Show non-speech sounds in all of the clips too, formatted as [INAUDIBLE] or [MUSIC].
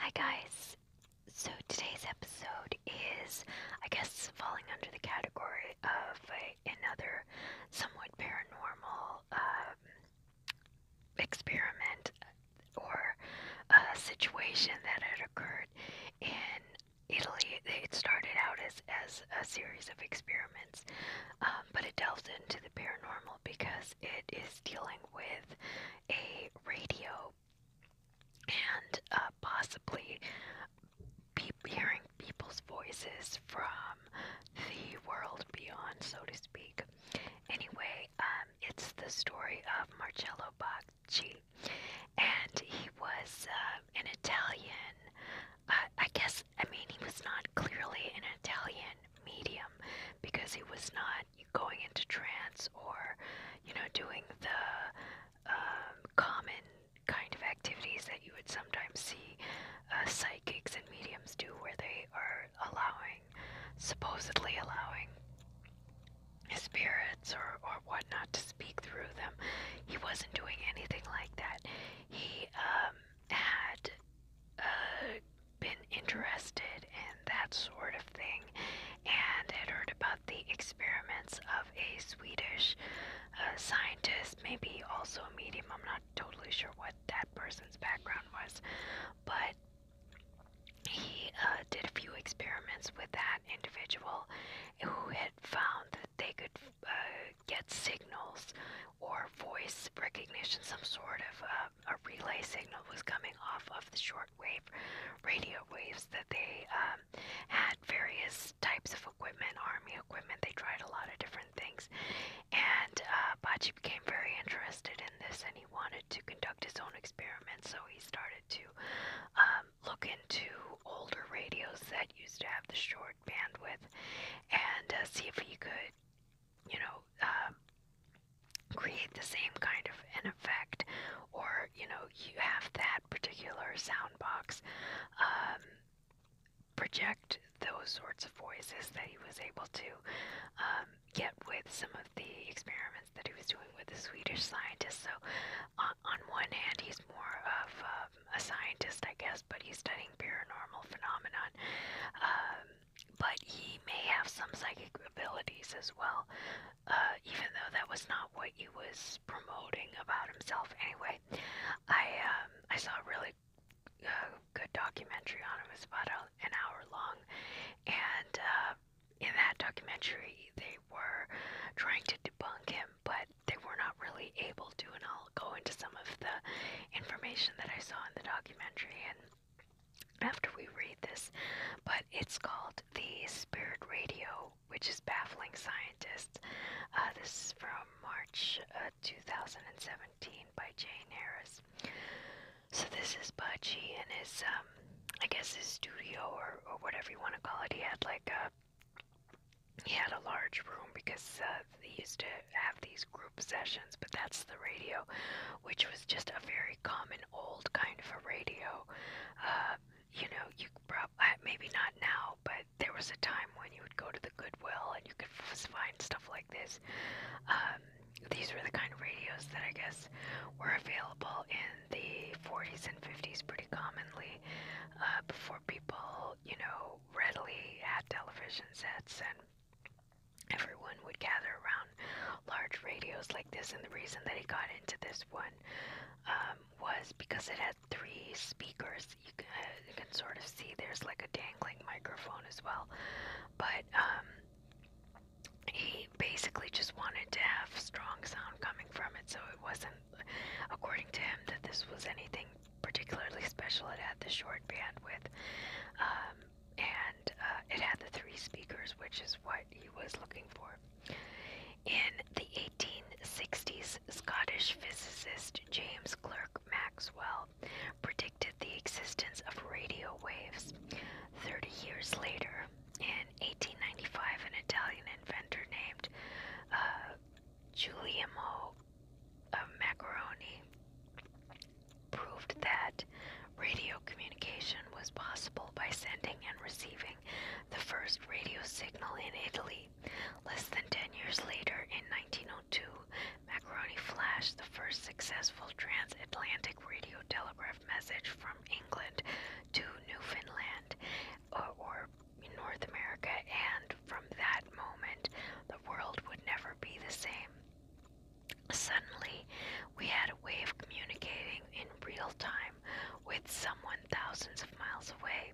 Hi guys. So today's episode is, I guess, falling under the category of another somewhat paranormal um, experiment or situation that had occurred in Italy. It started out as, as a series of experiments, um, but it delves into the paranormal because it is dealing with a radio and uh, possibly hearing people's voices from the world beyond, so to speak. Anyway, um, it's the story of Marcello Bacci, and he was uh, an Italian. I guess I mean he was not clearly an Italian medium because he was not not going into trance or, you know, doing the um, common kind of activities that you would sometimes see uh, psychics and mediums do, where they are allowing, supposedly allowing spirits or, or whatnot to speak through them. He wasn't doing anything like that. He um, had uh, been interested in that sort of thing and had heard about the experiments of a Swedish uh, scientist, maybe also a medium. I'm not totally sure what that person's background was, but he uh, did a few experiments with that individual who had found that they could uh, get signals or voice recognition, some sort of uh, a relay signal was coming off of the shortwave radio waves that they um, had various types of equipment, army equipment. They tried a lot of different things. And uh, became very interested in this and he wanted to conduct his own experiments, so he started to um, look into older radios that used to have the short bandwidth and uh, see if he could you know, um, create the same kind of an effect, or you know, you have that particular sound box um, project those sorts of voices that he was able to um, get with some of the experiments that he was doing with the Swedish scientists. So, on, one hand, he's more of a scientist, I guess, but he's studying paranormal phenomenon but he may have some psychic abilities as well, uh, even though that was not what he was promoting about himself. Anyway, I um, I saw a really uh, good documentary on him. It's about a, an hour long, and uh, in that documentary, they were trying to debunk him, but they were not really able to. And I'll go into some of the information that I saw in the documentary and after we read this, but it's called The Spirit Radio, which is baffling scientists. Uh, this is from March uh, 2017 by Jane Harris. So this is Budgie and his, um, I guess his studio or, or whatever you want to call it. He had like a, he had a large room because uh, they used to have these group sessions, but that's the radio which was just a very common old kind of a radio. Uh, you know, you prob- uh, maybe not now, but there was a time when you would go to the Goodwill and you could f- find stuff like this. Um, these were the kind of radios that I guess were available in the 40s and 50s pretty commonly uh, before people, you know, readily had television sets and Everyone would gather around large radios like this, and the reason that he got into this one um, was because it had three speakers. Uh, you can, sort of see there's like a dangling microphone as well, but um, he basically just wanted to have strong sound coming from it, so it wasn't, according to him, that this was anything particularly special. It had the short bandwidth. Um, and uh, it had the three speakers, which is what he was looking for. In the 1860s, Scottish physicist James Clerk Maxwell predicted the existence of radio waves. Thirty years later, in 1895, an Italian inventor named Giulio uh, Giuliano uh, Macaroni proved that radio communication was possible by sending and receiving the first radio signal in Italy. Less than 10 years later, in 1902, Macaroni flashed the first successful transatlantic radio telegraph message from England to Newfoundland or North America, and from that moment, the world would never be the same. Suddenly, we had a way of communicating in real time with someone thousands of miles away.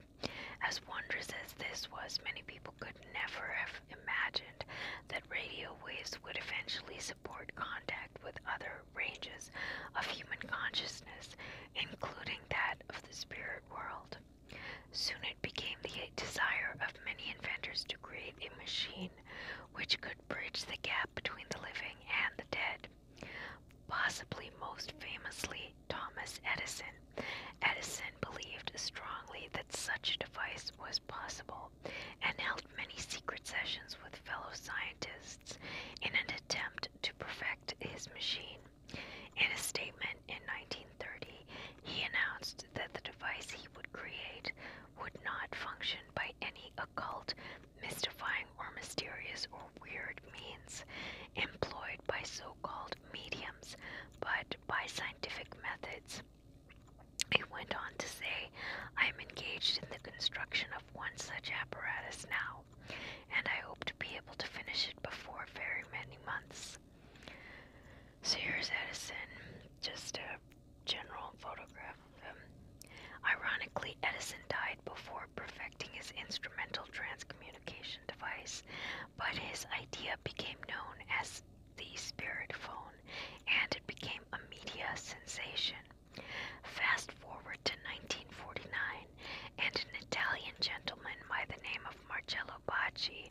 As wondrous as this was, many people could never have imagined that radio waves would eventually support contact with other ranges of human consciousness, including that of the spirit world. Soon it became the desire of many inventors to create a machine which could bridge the gap between the living and the dead. Possibly most famously, Thomas Edison. Edison believed strongly that such a device was possible and held many secret sessions with fellow scientists in an attempt to perfect his machine. In a statement in 1930, he announced that the device he would create would not function by any occult, mystifying, or mysterious or weird means employed by so called mediums, but by scientific methods. He went on to say, I am engaged in the construction of one such apparatus now, and I hope to be able to finish it before very many months. So Edison, just a general photograph of him. Ironically, Edison died before perfecting his instrumental transcommunication device, but his idea became known as the spirit phone and it became a media sensation. Fast forward to 1949, and an Italian gentleman by the name of Marcello Bacci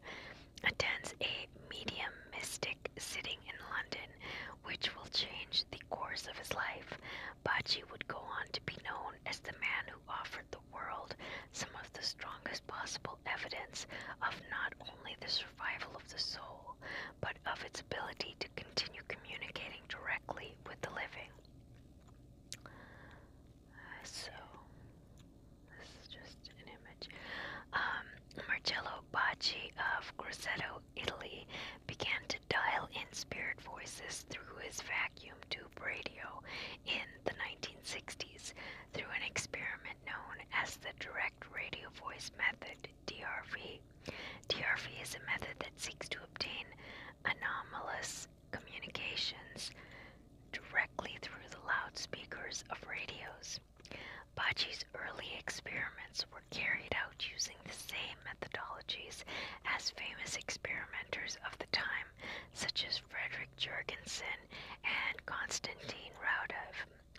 attends a medium mystic sitting in London, which will change the course of his life. Bocce would go on to be known as the man who offered the world some of the strongest possible evidence of not only the survival of the soul, but of its ability to continue communicating directly with the living. Uh, so, this is just an um, Marcello Bacci of Grosseto, Italy, began to dial in spirit voices through his vacuum tube radio in the 1960s through an experiment known as the direct radio voice method, DRV. DRV is a method that seeks to obtain anomalous communications directly through the loudspeakers of radios years. Bachi's early experiments were carried out using the same methodologies as famous experimenters of the time, such as Frederick Jurgensen and Konstantin Raudive.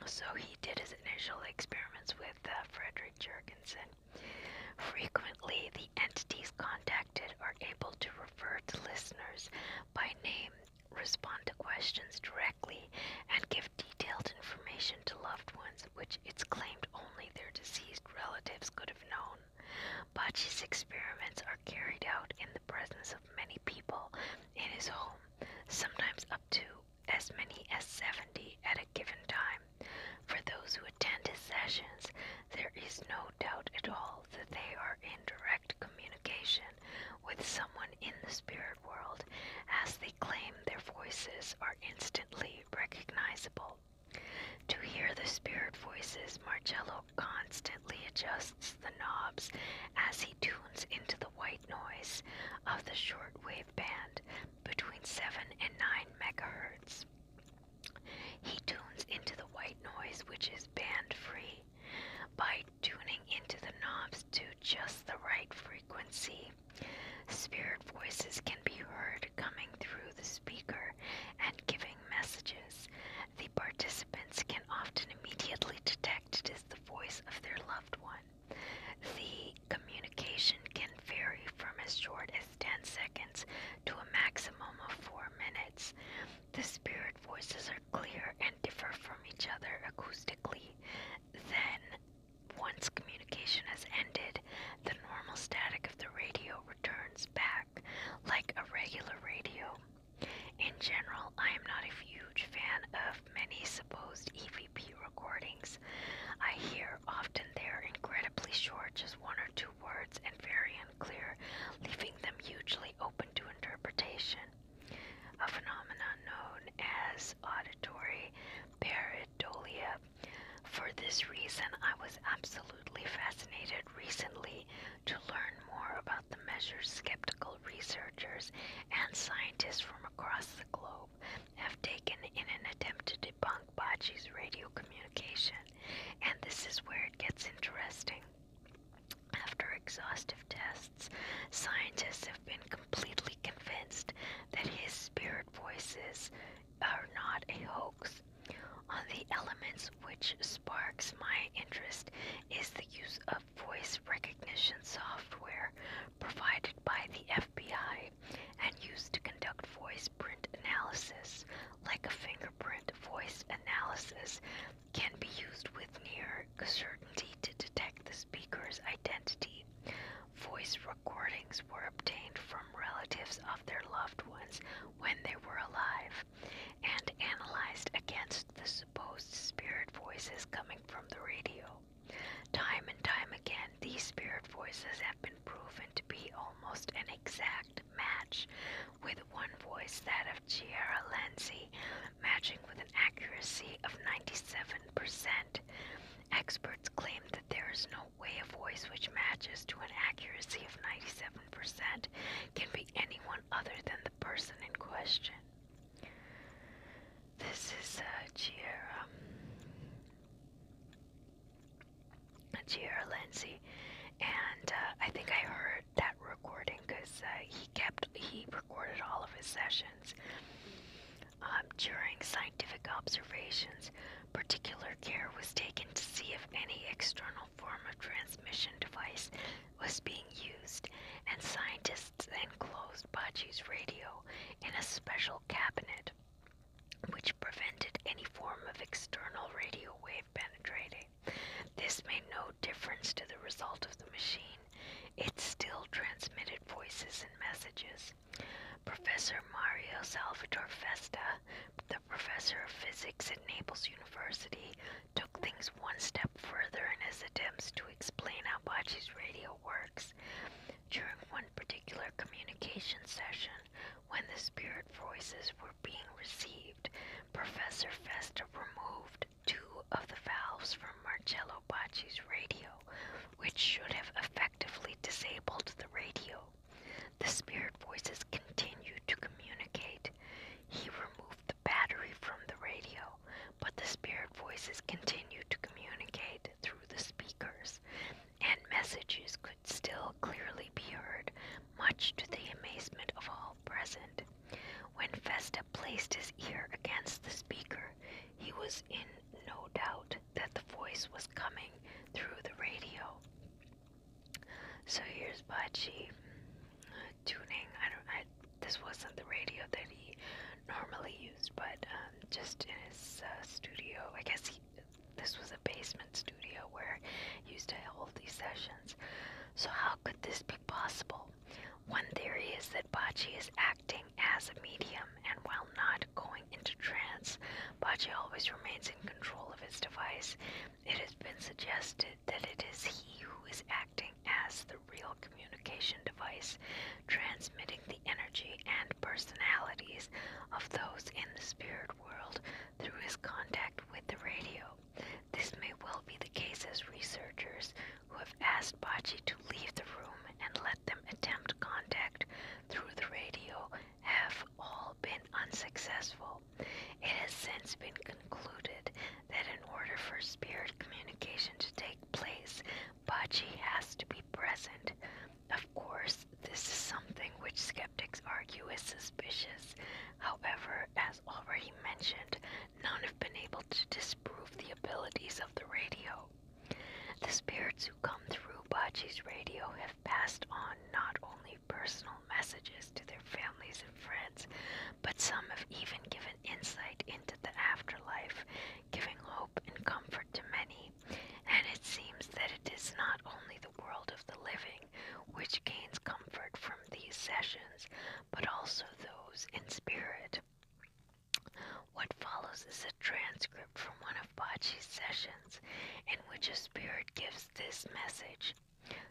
So he did his initial experiments with uh, Frederick Jurgensen. Frequently, the entities contacted are able to refer to listeners by name, respond to questions directly correctly and give detailed information to loved ones which it's claimed only their deceased relatives could have known. Bocce's experiments are carried out in the presence of many people in his home, sometimes up to as many as 70 at a given time. For those who attend his sessions, there is no doubt at all that they are in direct communication with someone in the spirit world, as they claim their voices are instantly recognizable. To hear the spirit voices, Marcello constantly adjusts the knobs as he tunes into the white noise of the shortwave band between 7 and 9 megahertz. He tunes into the white noise, which is band free, by tuning into the knobs to just the right frequency Spirit voices can be heard coming through the speaker and giving messages. The participants can often immediately detect it is the voice of their loved one. The communication can vary from as short as 10 seconds to a maximum of 4 minutes. The spirit voices are clear and differ from each other acoustically. Then, once communication has ended, the normal static of the radio returns back like a regular radio. In general, I am not a huge fan of many supposed EVP recordings. I hear often they are incredibly short, just one or two words, and very unclear, leaving them hugely open to interpretation. A phenomenon known as auditory pareidolia. For this reason, I was absolutely fascinated recently to learn more about the measures skeptical researchers and scientists from across the globe have taken in an attempt to debunk Bachi's radio communication. And this is where it gets interesting. After exhaustive tests, scientists have been completely convinced that his spirit voices are not a hoax. the elements which sparks my interest is the use of voice recognition software provided by the FBI and used to conduct voice analysis. Like a fingerprint, voice analysis can be used with near certainty to detect the speaker's identity. Voice recordings were obtained from relatives of their loved ones when they were alive and analyzed against the supposed spirit voices coming from the radio. Time and time again, these spirit voices have been proven to be almost an exact match with one voice, that of Chiara Lenzi, matching with an accuracy of 97%. Experts claim that there is no way a voice which matches to an accuracy of 97% can be anyone other than the person in question. This is uh, Giera. Giera Lindsay. And uh, I think I heard that recording because uh, he kept, he recorded all of his sessions um, during scientific observations, particular care was taken to see if any external form of transmission device was being used, and scientists then closed Bachi's radio in a special cabinet, which prevented any form of external radio wave penetrating. This made no difference to the result of the machine. It still transmitted voices and messages. Professor Mario Salvatore Festa, the professor of physics at Naples University, took things one step further in his attempts to explain how Bachi's radio works. During one particular communication session, when the spirit voices were being received, Professor Festa removed two of the valves from Marcello Bacci's radio, which should have effectively disabled the radio. The spirit voices continued to communicate. He removed the battery from the radio, but the spirit voices continued to communicate through the speakers, and messages could still clearly be heard, much to the amazement of all present. When Festa placed his ear against the speaker, he was in no doubt that the voice was coming through the radio. So here's Bachi uh, tuning. I don't. I, this wasn't the radio that he normally used, but um, just in his uh, studio. I guess he, this was a basement studio where he used to hold these sessions. So how could this be possible? One theory is that Bachi is acting as a medium, and while not going into trance, Bachi always remains in control of his device. It has been suggested that it is he who is acting as the real communication device, transmitting the energy and personalities of those in the spirit world through his contact with the radio. This may well be the case as researchers who have asked Bachi to leave the room and let them attempt contact through the radio have all been unsuccessful. It has since been concluded that in order for spirit communication to take place, Bachi has to be present. Of course, this is something which skeptics argue is suspicious. However, as already mentioned, none have been able to disprove the abilities of the radio. The spirits who come through Bachi's radio have passed on not only personal messages to their families and friends, but some have even given insight into the afterlife, giving hope and comfort to many. And it seems that it is not only the world of the living which gains comfort from these sessions, but also those in spirit. What follows is a transcript from one of Bachi's sessions in which a spirit gives this message.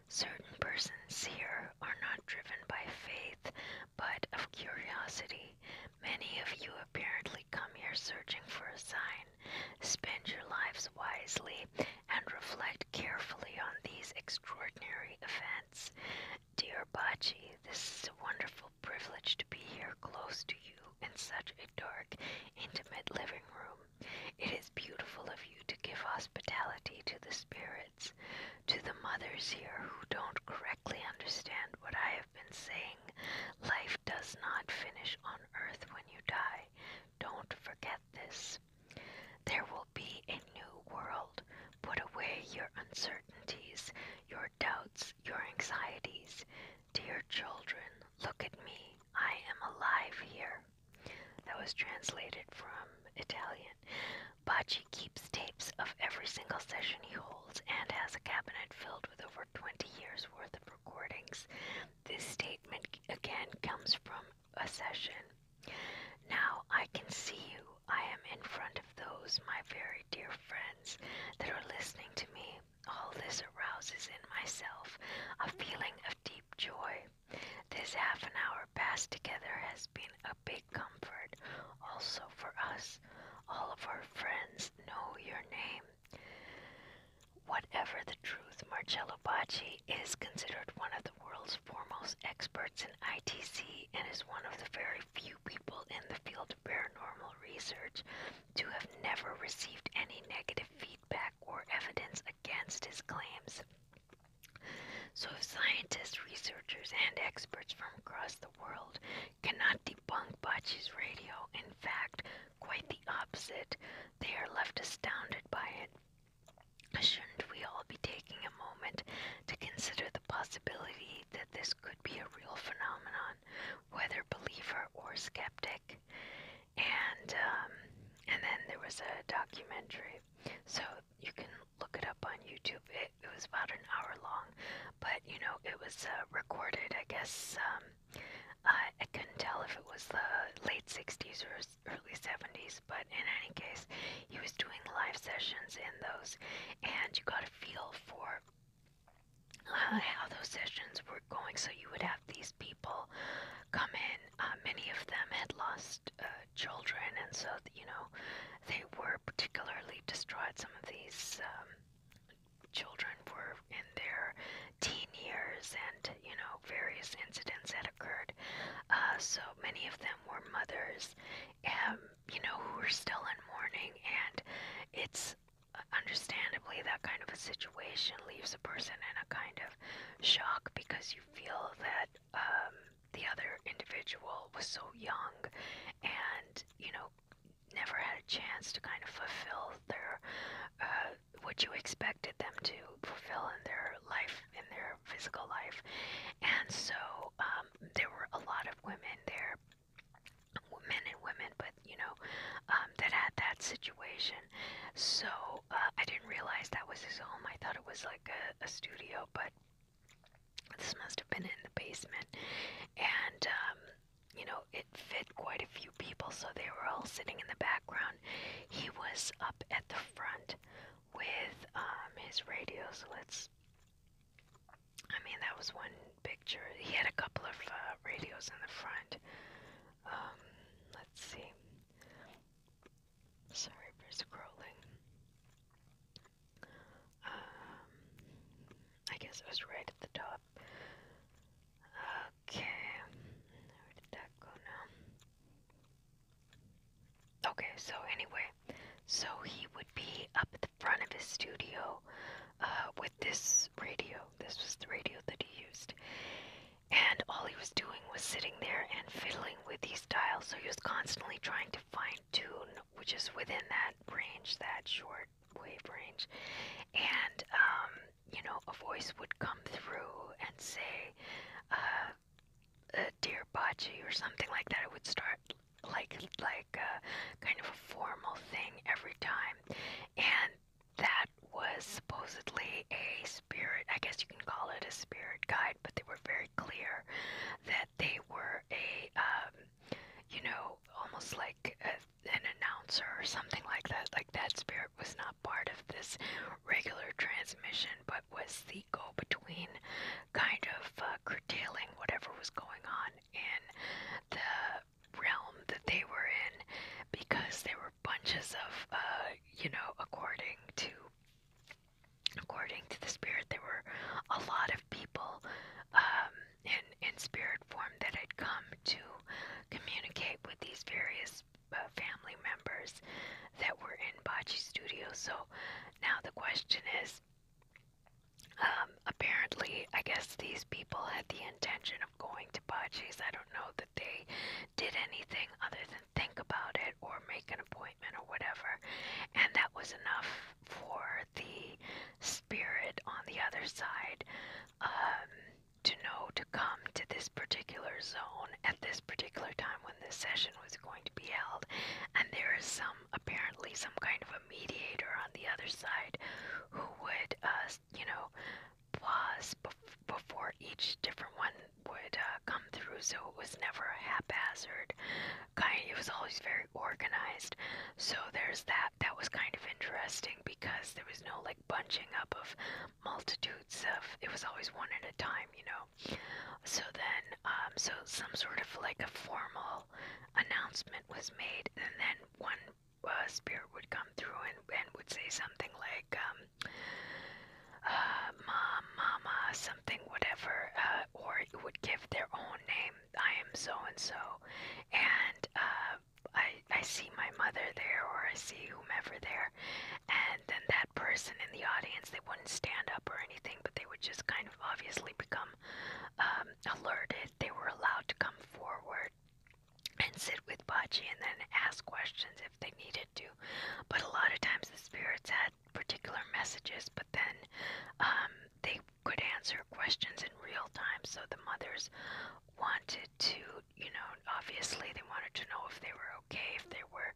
Certain persons here are not driven by faith, but of curiosity. Many of you apparently come here searching for a sign. Spend your lives wisely and reflect carefully on these extraordinary events. Dear Bachi, this is a wonderful privilege to be here close to you in such a dark, intimate living room. It is beautiful of you to give hospitality to the spirits, to the mothers here who don't correctly understand what I have been saying. Life does not finish on earth when you die. Don't forget this. There will be a new world Put away your uncertainties, your doubts, your anxieties. Dear children, look at me. I am alive here. That was translated from Italian. Bachi keeps tapes of every single session he holds and has a cabinet filled with over 20 years worth of recordings. This statement again comes from a session. Now I can see you. I am in front of those, my very dear friends, that are listening to me. All this arouses in myself a feeling of deep joy. This half an hour passed together has been a big comfort also for us. All of our friends know your name. Whatever the truth, Marcello Bacci is considered one of the world's foremost experts in ITC and is one of the very few people in the field of paranormal research to have never received any negative feedback or evidence against his claims. So, if scientists, researchers, and experts from across the world cannot debunk Bachi's radio, in fact, quite the opposite, they are left astounded by it. Shouldn't we all be taking a moment to consider the possibility believed that this could be a real phenomenon, whether believer or skeptic. And um, and then there was a documentary, so you can look it up on YouTube. It, it was about an hour long, but you know it was uh, recorded. I guess um, I, I couldn't tell if it was the late '60s or early '70s, but in any case, he was doing live sessions in those, and you got a feel for uh, how those sessions were going. So you would have these people come in. Uh, many of them had lost uh, children, and so you know they were particularly distraught. Some of these um, children were in their teen years, and you know various incidents had occurred. Uh, so many of them were mothers, um, you know, who are still in mourning, and it's understandably that kind of a situation leaves a person in a kind of shock because you feel that um, the other individual was so young and, you know, never had a chance to kind of fulfill their uh, what you expected them to fulfill in their life in their physical life and so um, there were a lot of women there, men and women, but you know, um, that had that situation. So uh, I didn't realize that was his home. I thought it was like a, a studio, but this must have been in the basement. And, um, you know, it fit quite a few people, so they were all sitting in the background. He was up at the front with um, his radio, so let's I mean, that was one picture. He had a couple of uh, radios in the front. Um, let's see. Sorry for scrolling. Um, I guess it was right at the top. Okay. Where did that go now? Okay, so anyway, so he would be up at the front of his studio uh, with this radio. This was the radio that he used. And all he was doing was sitting there and fiddling with these dials. So he was constantly trying to find tune, which is within that range, that short wave range. And, um, you know, a voice would come through and say, uh, uh, dear Baji or something like that. It would start like like uh, kind of a formal thing every time, and that was supposedly a spirit. I guess you can call it a spirit guide, but they were very clear that they were a um, you know almost like a, an announcer or something like that. Like that spirit was not part of this regular transmission, but was the go between kind of uh, curtailing whatever was going on in the realm that they were in because there were bunches of, uh, you know, according to. According to the spirit, there were a lot of people um, in in spirit form that had come to communicate with these various uh, family members that were in Bachi Studio. So now the question is, um, apparently, I guess these people had the intention of going to Baji's. I don't know that they did anything other than think about it or make an appointment or whatever. And that was enough for the spirit on the other side um, to know to come to this particular zone at this particular time when this session was going to be held. And there is some some apparently some kind of a mediator on the other side who would uh, you know pause bef before each different one would uh, come through so it was never a haphazard kind it was always very organized so there's that that was kind of interesting because there was no like bunching up of multitudes of it was always one at a time you know so then, um, so some sort of like a formal announcement was made, and then one uh, spirit would come through and, and would say something like, um, uh, Mom, Mama, something, whatever, uh, or it would give their own name. I am so and so, and uh, I, I see my mother there, or I see whomever there, and then that person in the audience, they wouldn't stand up or anything, but they would just kind kind of obviously become um, alerted, they were allowed to come forward and sit with Bachi and then ask questions if they needed to. But a lot of times the spirits had particular messages, but then um, they could answer questions in real time. So the mothers wanted to, you know, obviously they wanted to know if they were okay, if they were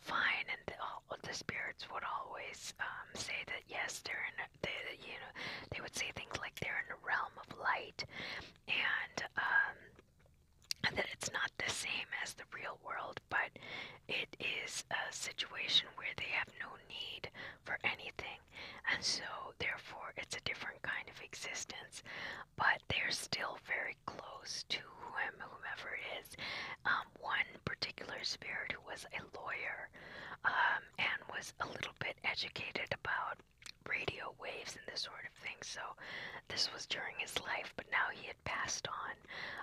fine, and the, all the spirits would always um, say that yes, they're in. They, you know, they would say things like they're in the realm of light, and um, and that it's not the same as the real world, but it is a situation where they have no need for anything, and so therefore it's a different kind of existence, but they're still very close to whomever it is, um, one particular spirit who was a lawyer um, and was a little bit educated about radio waves and this sort of thing. So this was during his life, but now he had passed on.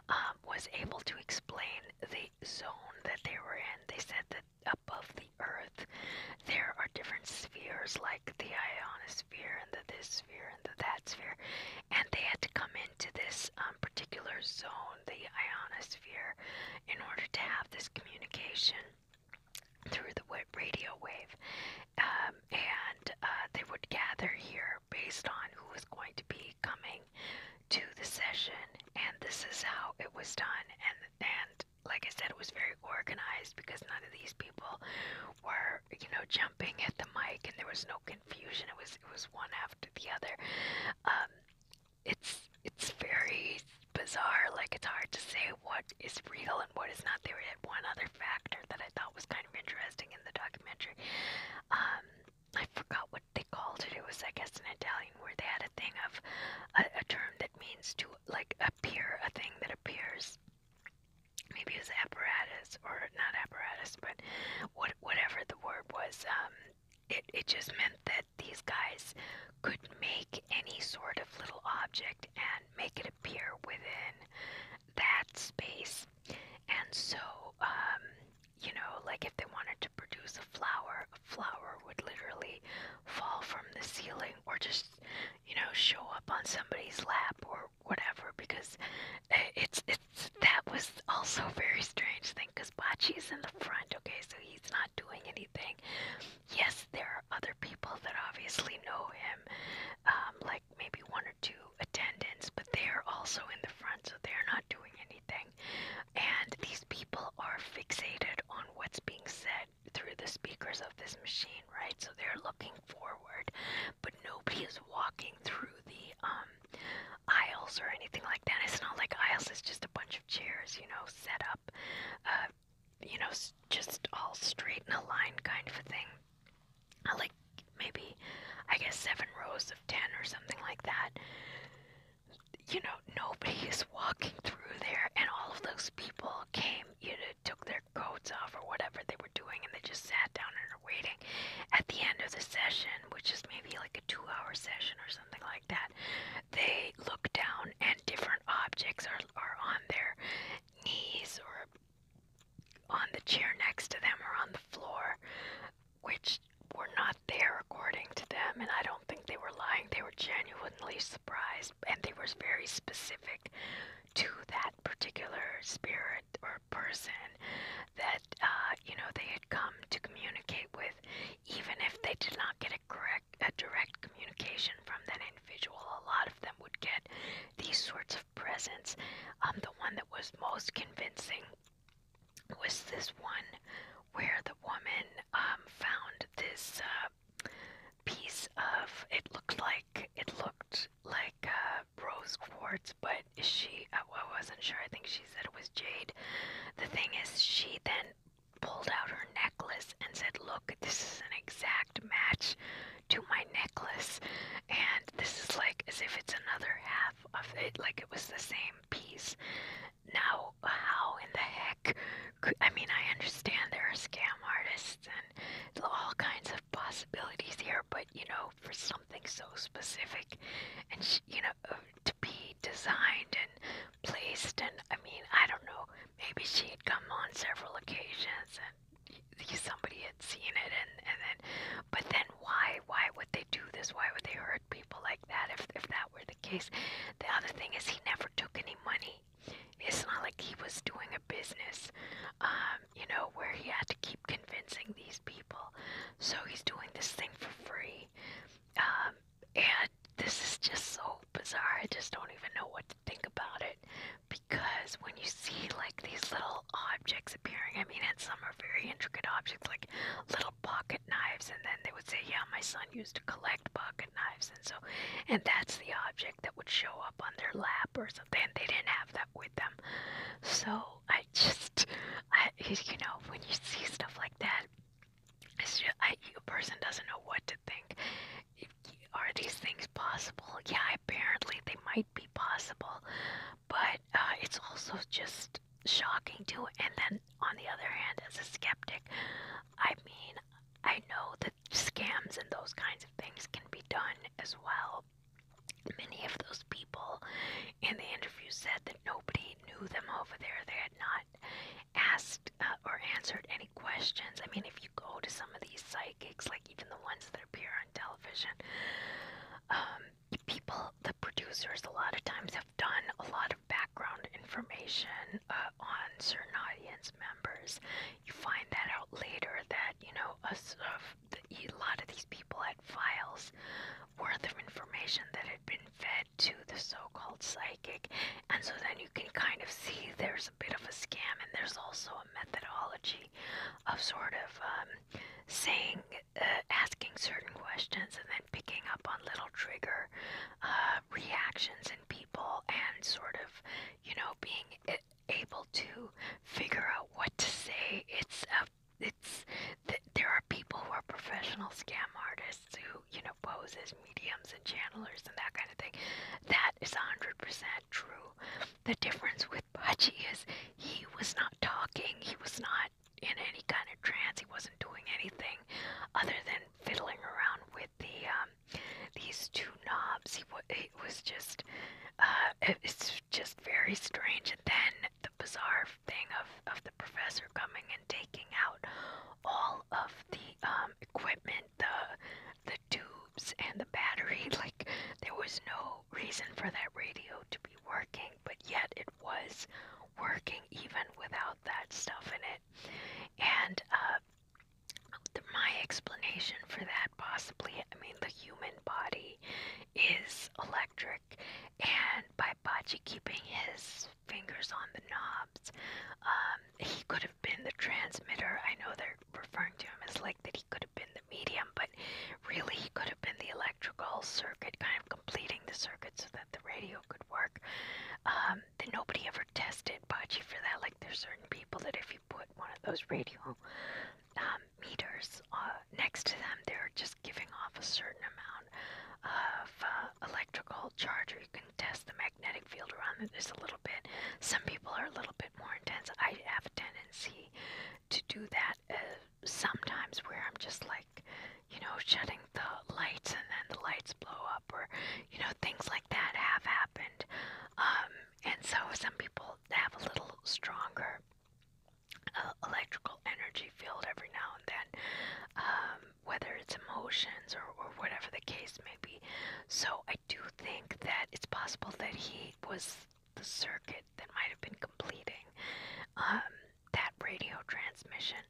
Um, was able to explain the zone that they were in. They said that above the earth there are different spheres like the ionosphere and the this sphere and the that sphere and they had to come to this um, particular zone, the ionosphere, in order to have this communication through the radio wave. Um, and uh, they would gather here based on who was going to be coming to the session. And this is how it was done. And, and like I said, it was very organized because none of these people were, you know, jumping at the mic and there was no confusion. It was it was one after the other. Um, it's it's very bizarre. Like it's hard to say what is real and what is not. There had one other factor that I thought was kind of interesting in the documentary. Um, I forgot what they called it. It was I guess an Italian where they had a thing of a, a term that means to like appear, a thing that appears. Maybe it was apparatus or not apparatus, but what what, whatever the word was, um, it, it just meant that these guys could make any sort of little object and make it appear within that space. And so, um, you know, like if they wanted to produce a flower, a flower would literally fall from the ceiling or just, you know, show up on somebody's lap or whatever because it's it's that was also a very strange thing because is in the front, okay, so he's not doing anything. Yes, there are other people that obviously know him, um, like maybe one or two attendants, but they are also in the front, so they're not doing anything. And these people are fixated on what's being said through the speakers of this machine, right? So they're looking forward, but nobody is walking through the um aisles or anything like that. It's not like aisles, it's just a bunch of chairs, you know, set up, uh, you know, just all straight and aligned kind of a thing. I like maybe, I guess, seven rows of ten or something like that. You know, [LAUGHS] nobody is walking through there, and all of those people came, you know, took their coats off or whatever they were doing, and they just sat down in are waiting at the end of the session, which is maybe like a two hour session or something like that, they look down and different objects are, are on their knees or on the chair next to them or on the floor, which were not there according to them. And I don't think they were lying, they were genuinely surprised and they were very specific to that particular spirit or person that uh, you know they had come to communicate with, even if they did not get a correct a direct communication from that individual. A lot of them would get these sorts of presents. Um, the one that was most convincing was this one where the woman um, found this uh, piece of it looked like it looked like uh, rose quartz, but she, I, wasn't sure. I think she said it was jade. The thing is, she then pulled out her necklace and said, Look, this is an exact match to my necklace. And this is like as if it's another half of it, like it was the same piece. Now, how in the heck? I mean, I understand there are scam artists and all kinds of possibilities here, but but you know, for something so specific and sh you know, uh, to be designed and placed. And I mean, I don't know, maybe she had come on several occasions and somebody had seen it and, and then but then why why would they do this why would they hurt people like that if, if that were the case the other thing is he never took any money it's not like he was doing a business uh, you know, where he had to keep convincing these people. So he's doing this thing for free. Um, and this is just so bizarre. I just don't even know what to think about it because when you see like these little objects appearing, I mean, and some are very intricate objects like little pocket knives, and then they would say, Yeah, my son used to collect pocket knives, and so, and that's the object that would show up on their lap or something. They didn't have that with them, so I [LAUGHS] just, I you know, when you see stuff like that, it's just, I, a person doesn't know what to think. Are these things possible? Yeah, apparently they might be possible, but uh, it's also just shocking too. And then on the other hand, as a skeptic, I mean, I know that scams and those kinds of things can be done as well. Many of those people in the interview said that nobody knew them over there. They had not asked uh, or answered any questions. I mean, if you go to some of these psychics, like even the ones that appear on television, um, people, the producers, a lot of times have done a lot of background information uh, on certain audience members. You find that out later that, you know, a, a the, a lot of these people had files worth of information that had been fed to the so-called psychic and so then you can kind of see there's a bit of a scam and there's also a methodology of sort of um, saying uh, asking certain questions and then picking up on little trigger uh, reactions in people and sort of you know being eh, able to figure out what to say it's a um, it's th there are people who are professional scam artists who you know pose as mediums and channelers and that kind of thing. That is hundred percent true. The difference with Budgie is he was not talking. He was not in any kind of trance. He wasn't doing anything other than fiddling around with the um, these two knobs. He w it was just uh, it's just very strange. And then the bizarre thing of, of the professor coming and taking out all of the um, equipment, the the tubes and the battery. [LAUGHS] Like there was no reason for that radio to be working, but yet it was working even without that stuff in it. And uh, my explanation for that possibly, I mean, the human body is electric, and by Bachi keeping his fingers on the knobs, um, he could have been the transmitter. I know they're referring to him as like that he could have been the medium, but really he could have been the electrical circuit, kind of completing the circuit so that the radio could work. Um, that nobody ever tested Bachi for that. Like there's certain people that if you put one of those radio um, meters uh, next to them, they're just giving off a certain amount of uh, electrical charge, or you can test the magnetic field around it just a little bit. Some people are a little bit more intense. I have a tendency to do that uh, sometimes where I'm just like, you know, shutting the lights and then the lights blow up, or, you know, things like that have happened. Um, and so some people have a little stronger uh, electrical energy field every now and then, um, whether it's emotions or, or whatever the case may be. So I do think that it's possible that he was the circuit that might have been completing um, that radio transmission.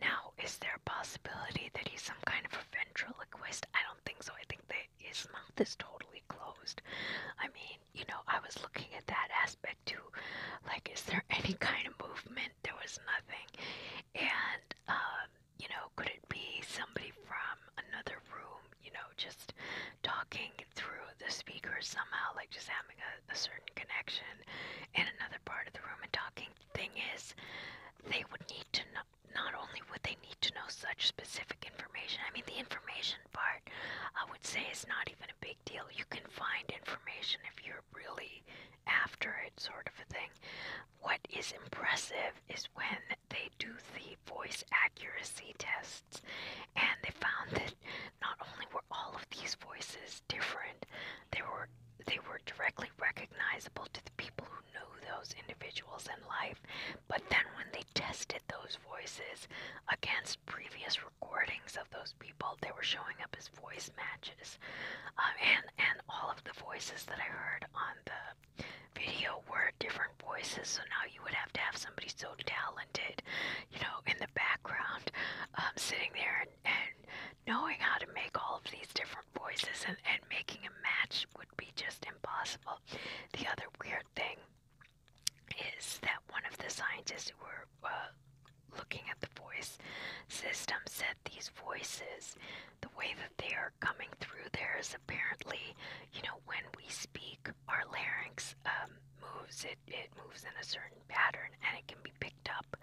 Now, is there a possibility that he's some kind of a ventriloquist? I don't think so. I think that his mouth is totally closed. I mean, mean, you know, I was looking at that aspect too. Like, is there [LAUGHS] any kind of movement? There was nothing. And, um, you know, could it be somebody from another room, you know, just talking through the speaker somehow, like just having a, a certain connection in another part of the room and talking? Thing is, they would need to know, not only would they need to know such specific information, I mean, the information information part, I would say it's not even a big deal. You can find information if you're really after it, sort of a thing. What is impressive is when they do the voice accuracy tests, and they found that not only were all of these voices different, they were they were directly recognizable to the people who knew those individuals in life. But then when they tested those voices against previous recordings of those people. They were showing up as voice matches, um, and and all of the voices that I heard on the video were different voices. So now you would have to have somebody so talented, you know, in the background, um, sitting there and, and knowing how to make all of these different voices and, and making a match would be just impossible. The other weird thing is that one of the scientists who were uh, looking at the voice system said these voices, the way that they are coming through there is apparently, you know, when we speak, our larynx um, moves. It it moves in a certain pattern, and it can be picked up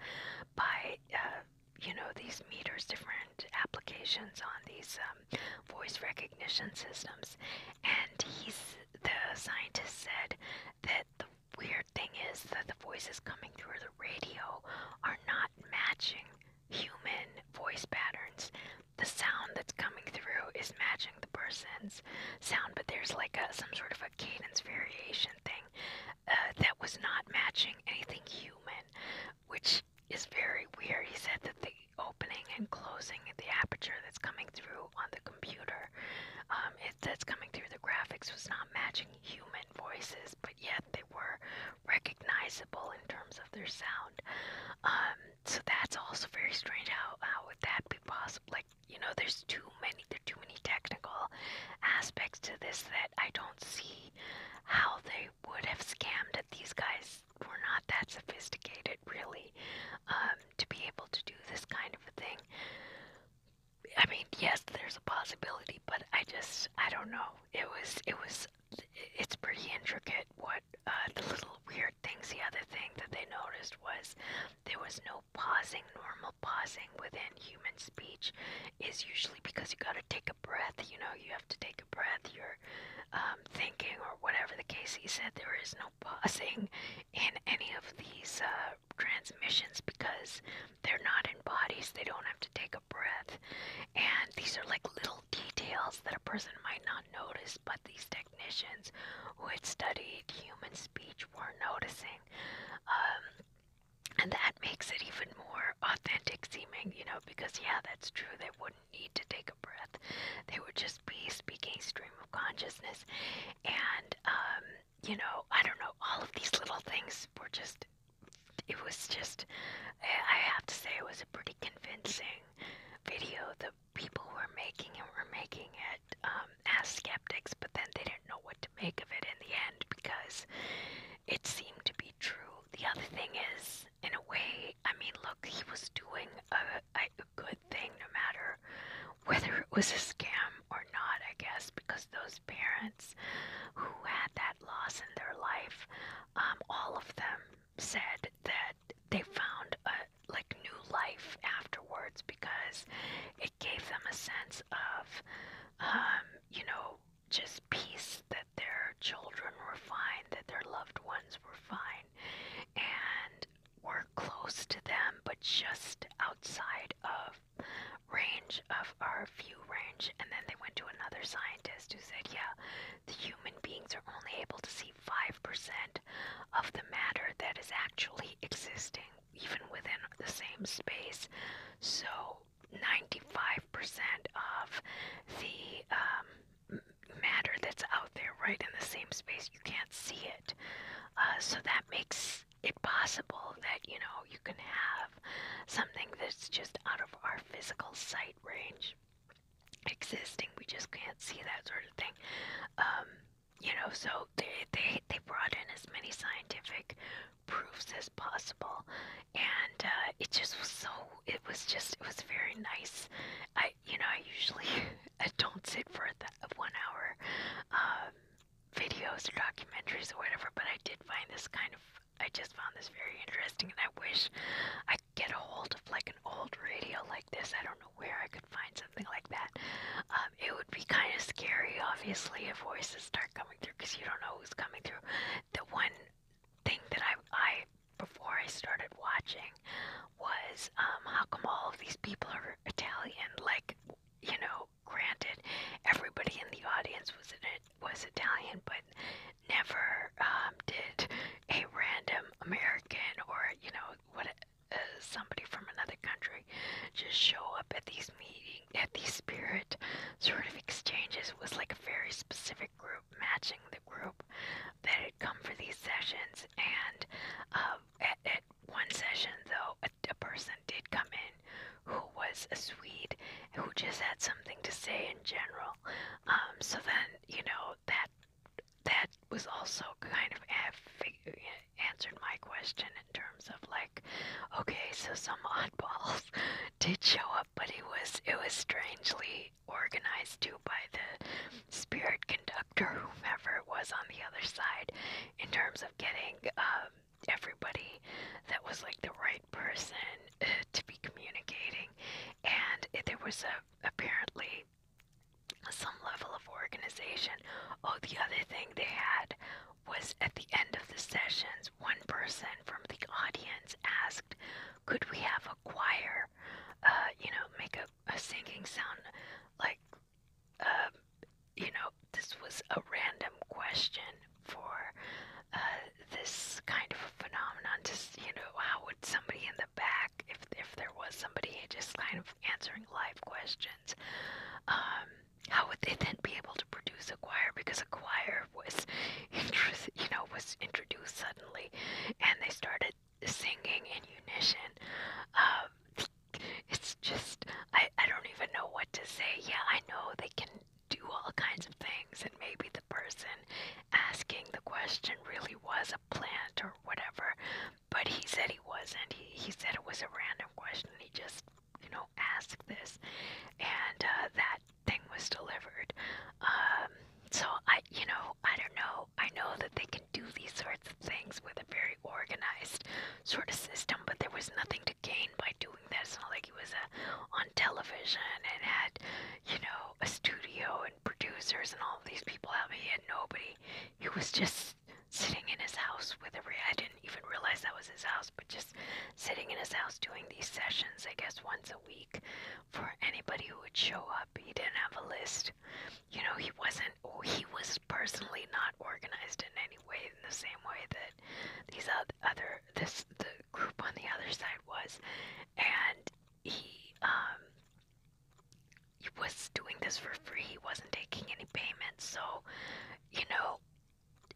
by. Uh, you know these meters different applications on these um, voice recognition systems and he's the scientist said that the weird thing is that the voices coming through the radio are not matching human voice patterns. The sound that's coming through is matching the person's sound, but there's like a, some sort of a cadence variation thing uh, that was not matching anything human, which is very weird. He said that the opening and closing the aperture that's coming through on the computer. Um, it, that's coming through the graphics was not matching human voices, but yet they were recognizable in terms of their sound. Um, so that's also very strange. How how would that be possible? Like you know, there's too many there too many technical aspects to this that I don't see how they would have scammed it. These guys were not that sophisticated, really. Um, to be able to do this kind of thing. I mean, yes, there's a possibility, but I just I don't know. It was it was it's pretty intricate what uh, the little weird things. The other thing that they noticed was there was no pausing. Normal pausing within human speech is usually because you got to take a breath. You know, you have to take a breath. You're um, thinking or whatever the case. He said there is no pausing in any of these uh, transmissions because they're not in bodies. They don't have to take a breath. And these are like little details that a person might not notice, but these technicians who had studied human speech were noticing. Um, and that makes it even more authentic seeming, you know, because yeah, that's true. They wouldn't need to take take a breath. They would just be speaking stream of consciousness. And, um, you know, I don't know, all of these little things were just, it was just, I have to say, it was a pretty convincing video. The people were making it were making it um, as skeptics, but then they didn't know what to make of it in the end because it seemed to be true. The other thing is, in a way, I mean, look, he was doing a, a like a good thing no matter whether it was a scam or not, I guess, because those parents who had that loss in their life, um, all of them said that they found a like new life afterwards because it gave them a sense of, um, you know, just peace that their children were fine, that their loved ones were fine, and we're close to them, but just outside of range of our view range. And then they went to another scientist who said, yeah, the human beings are only able to see 5% of the matter that is actually existing, even within the same space. So 95% of the um, matter that's out there right in the same space. You can't see it. Uh, so that makes it possible that, you know, you can have something that's just out of our physical sight range existing. We just can't see that sort of thing. Um, you know, so they, they, they brought in as many scientific proofs as possible. And uh, it just was so, it was just, it was very nice. I, you know, I usually. [LAUGHS] I [LAUGHS] don't sit for a one hour um, videos or documentaries or whatever, but I did find this kind of, I just found this very interesting and I wish I could get a hold of like an old radio like this. I don't know where I could find something like that. Um, it would be kind of scary, obviously, if voices start coming through because you don't know who's coming through. The one thing that I, I before I started watching was um, how come all of these people are Italian? Like, you know, granted, everybody in the audience was it was Italian, but never um, did a random American or you know what uh, somebody from another country just show up at these meeting at these spirit sort of exchanges. was like a very specific group matching the group that had come for these sessions, and uh, at, at one session, though, a, a person did come in who was a Swede who just had something to say in general. Um, so then, you know, that that was also kind of answered my question in terms of like, okay, so some oddballs [LAUGHS] did show up, but it was it was strangely organized to by the spirit conductor, whomever it was on the other side, in terms of getting um, everybody that was like the right person uh, to be communicating. And it, there was a, apparently some level of organization. Oh, the other thing they had was at the end of the sessions, one person from the audience asked, Could we have a choir? Uh, you know make a, sinking sound like um, you know this was a random question for uh, this kind of a phenomenon just you know how would somebody in the back if, if there was somebody just kind of answering live questions um, how would they then be able to produce a choir because a choir was [LAUGHS] you know was introduced suddenly and they started singing in unison. Um, it's just, I, I don't even know what to say. Yeah, I know they can do all kinds of things, and maybe the person asking the question really was a plant or whatever, but he said he wasn't. He, he said it was a random question. He just, you know, asked this, and uh, that thing was delivered. Um, so I, you know, I don't know. I know that they can do these sorts of things with a very organized sort of system, but there was nothing to gain by doing that. It's not like he was uh, on television and had, you know, a studio and producers and all these people out. He had nobody. He was just sitting in his house with a. Re- I didn't even realize that was his house, but just sitting in his house doing these sessions, I guess once a week, for anybody who would show up. He didn't have a list you know, he wasn't, oh, he was personally not organized in any way in the same way that these other, this, the group on the other side was. And he, um, he was doing this for free. He wasn't taking any payments. So, you know,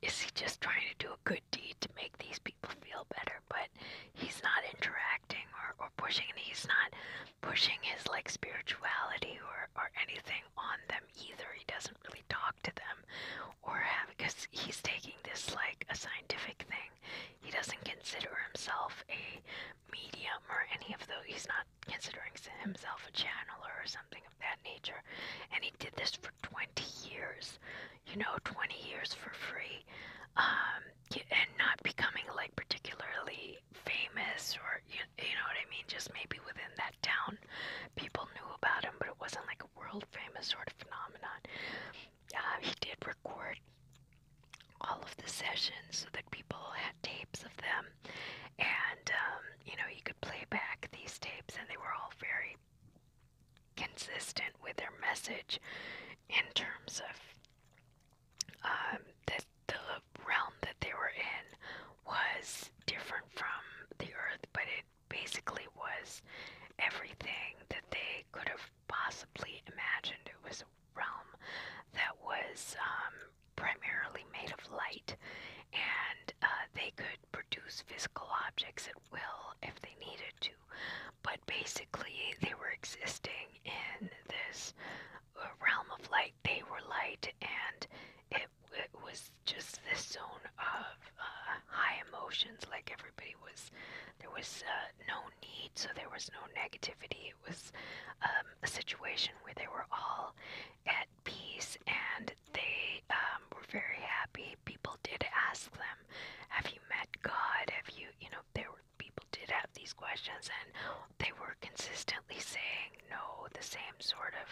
is he just trying to do a good deed to make these people feel better? But he's not interacting or, or pushing, and he's not pushing his like spirituality or, or anything on them either. He doesn't really talk to them or have because he's taking this like a scientific thing. He doesn't consider himself a medium or any of those. He's not considering himself a channeler or something of that nature. And he did this for 20 years, you know, 20 years for free. Um, and not becoming like particularly famous or you, you know what I mean just maybe within that town people knew about him but it wasn't like a world famous sort of phenomenon uh, he did record all of the sessions so that people had tapes of them and um, you know you could play back these tapes and they were all very consistent with their message in terms of um, that the realm that they were in was different from the Earth, but it basically was everything that they could have possibly imagined. It was a realm that was um, primarily made of light, and uh, they could produce physical objects at will if they needed to. But basically, they were existing in this realm of light. They were light, and it it was just this zone of uh, high emotions. Like everybody was, there was uh, no need, so there was no negativity. It was um, a situation where they were all at peace, and they um, were very happy. People did ask them, "Have you met God? Have you, you know?" They were people did have these questions and they were consistently saying no the same sort of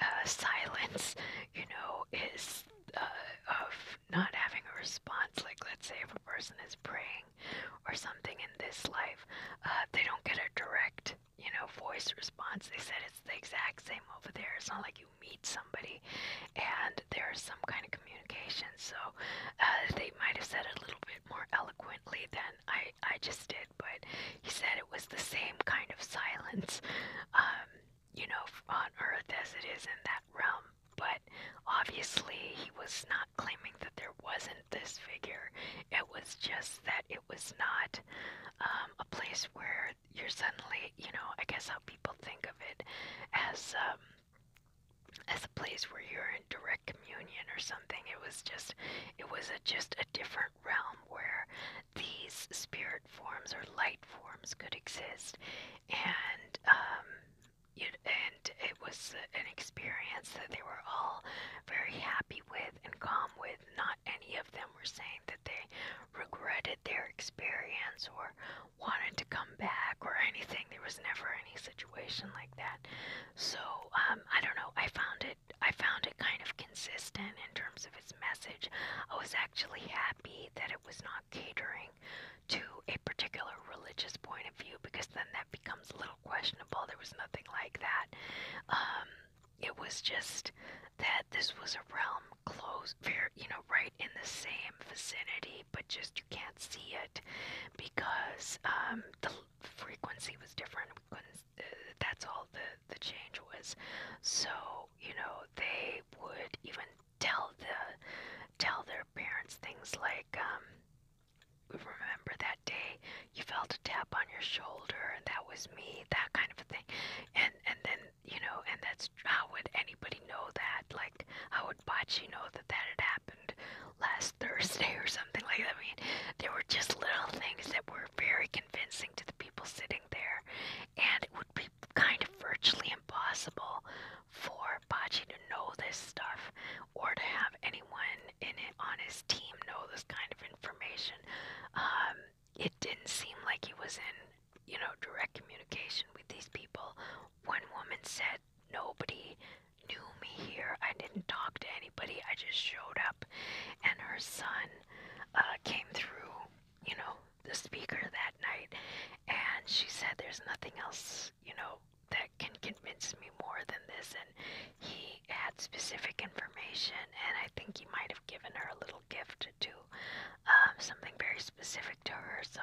uh, [LAUGHS] silence you know is uh, of not having a response like let's say if a person is praying or something in this life uh, they don't get a direct you know voice response they said it's the exact same over there it's not like you meet somebody and there's some kind of communication so uh, they might have said a little bit it more eloquently than I, I just did, but he said it was the same kind of silence, um, you know, on Earth as it is in that realm. But obviously, he was not claiming that there wasn't this figure. It was just that it was not um, a place where you're suddenly, you know, I guess how people think of it as um, as a place where you're in direct communion or something. It was just, it was a, just a different realm where these spirit forms or light forms could exist, and um, you and it was an experience that they were all very happy with and calm with. Not any of them were saying that they regretted their experience or wanted to come back or anything. There was never any situation situation like that. So um, I don't know. I found it. I found it kind of consistent in terms of its message. I was actually happy that it was not catering to a particular religious point of view because then that becomes a little questionable. There was nothing like that. Um, it was just that this was a realm close, very, you know, right in the same vicinity frequency, but just you can't see it because um, the frequency was different. We couldn't, uh, that's all the, the change was. So, you know, they would even tell the tell their parents things like, um, remember that day you felt a tap on your shoulder and that was me, that kind of a thing. And and then, you know, and that's how would anybody know that? Like like, how would Bachi know that that had happened last [LAUGHS] Thursday or something like that? I mean, there were just little things that were very convincing to the people sitting there, and it would be kind of virtually impossible for Bachi to know this stuff or to have anyone in it on his team know this kind of information. Um, it didn't seem like he was in, you know, direct communication with these people. One woman said Nobody knew me here. I didn't talk to anybody. I just showed up, and her son uh, came through, you know, the speaker that night, and she said, "There's nothing else, you know, that can convince me more than this." And he had specific information, and I think he might have given her a little gift to do um, something very specific to her. So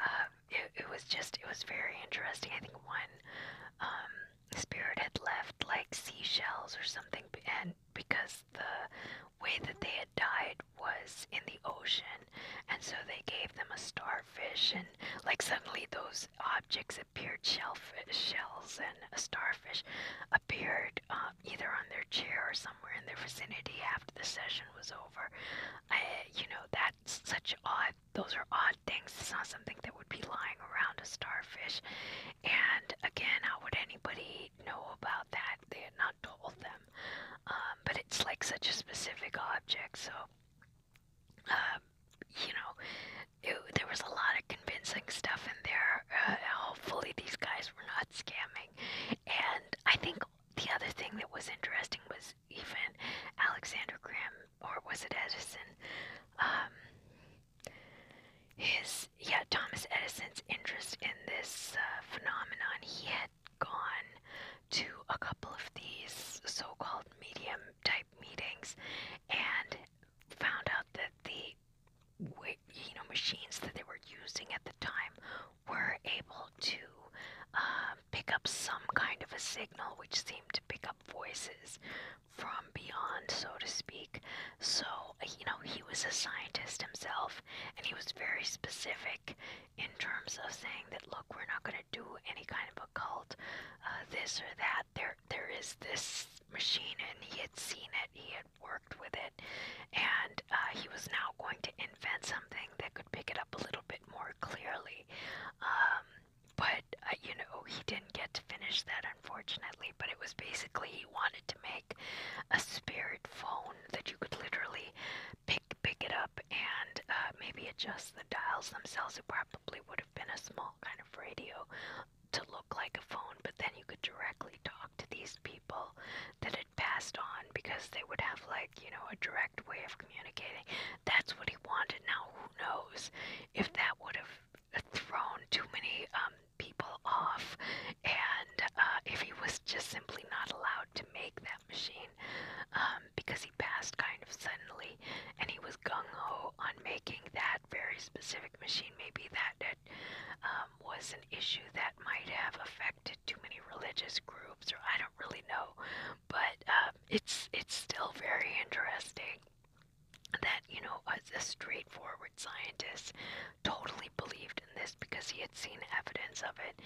uh, um, it, it was just it was very interesting. I think one um, spirit had left like seashells or something, and because the way that they had died was in the ocean, and so they gave them a starfish, and like suddenly those objects appeared shellfish shells and a starfish appeared um, either on their chair or somewhere in their vicinity after the session was over. I, you know that's such odd those are odd things. It's not something that would be lying around a starfish. And again, how would anybody know about that? They had not told them. Um, but it's like such a specific object, so um, you know, there was a lot of convincing stuff in there. Uh, hopefully, these guys were not scamming. And I think the other thing that was interesting was even Alexander Graham, or was it Edison? Um, his yeah, Thomas Edison's interest in this uh, phenomenon. He had gone to a couple of these so-called medium type meetings and found out that the you know machines that they were using at the time were able to uh, uh, pick up some kind of a signal which seemed to pick up voices from beyond, so to speak. So, you know, he was a scientist himself and he was very specific in terms of saying that look, we're not going to do any kind of occult uh, this or that. There there is this machine and he had seen it, he had worked with it and uh, he was now going to invent something that could pick it up a little bit more clearly. Um, but, uh, you know, he didn't get to finish that, unfortunately. But it was basically he wanted to make a spirit phone that you could literally pick, pick it up and uh, maybe adjust the dials themselves. It probably would have been a small kind of radio to look like a phone, but then you could directly talk to these people that had passed on because they would have like like, you know, a direct way of communicating. That's what he wanted. Now, who knows if that would have thrown too many um, people off and uh, if he was just simply not allowed to make that machine um, because he passed kind of suddenly and he was gung ho on making that very specific machine. Maybe that, that um, was an issue that might have affected too many religious groups, or I don't really know but um, it's it's still very interesting that you know as a straightforward scientist totally believed in this because he had seen evidence of it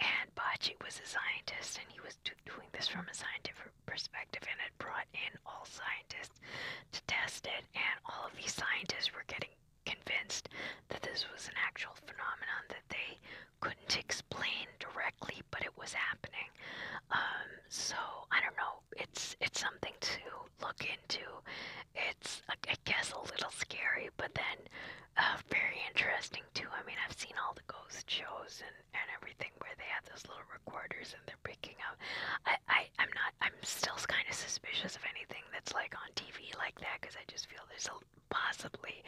and Bachi was a scientist and he was do doing this from a scientific perspective and had brought in all scientists to test it and all of these scientists were getting convinced that this was an actual phenomenon that they couldn't explain directly asleep, but it was happening. Um, so I don't know. It's it's something to look into. It's I guess a little scary, but then uh, very interesting too. I mean, I've seen all the ghost shows and and everything where they have those little recorders and they're picking up. I, I I'm not. I'm still kind of suspicious of anything that's like on TV like that because I just feel there's a possibly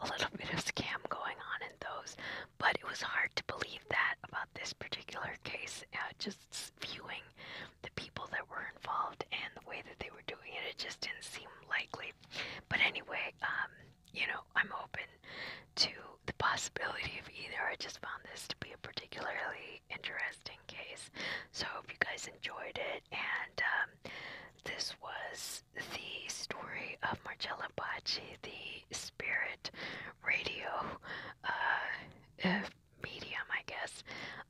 a little bit of scam going on in those, but it was hard to believe that about this particular case. Uh, just viewing the people that were involved and the way that they were doing it, it just didn't seem likely. But anyway, um, you know, I'm open to the possibility of either. I just found this to be a particularly interesting case. So I hope you guys enjoyed it and um, this was the story of Marcella Bachi, the spirit radio uh, uh, medium, I guess,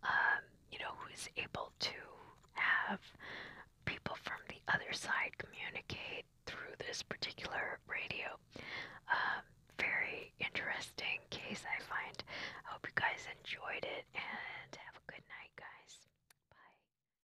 um, you know, who's able to have people from the other side communicate through this particular radio. Um, very interesting case, I find. I hope you guys enjoyed it and have a good night, guys. Bye.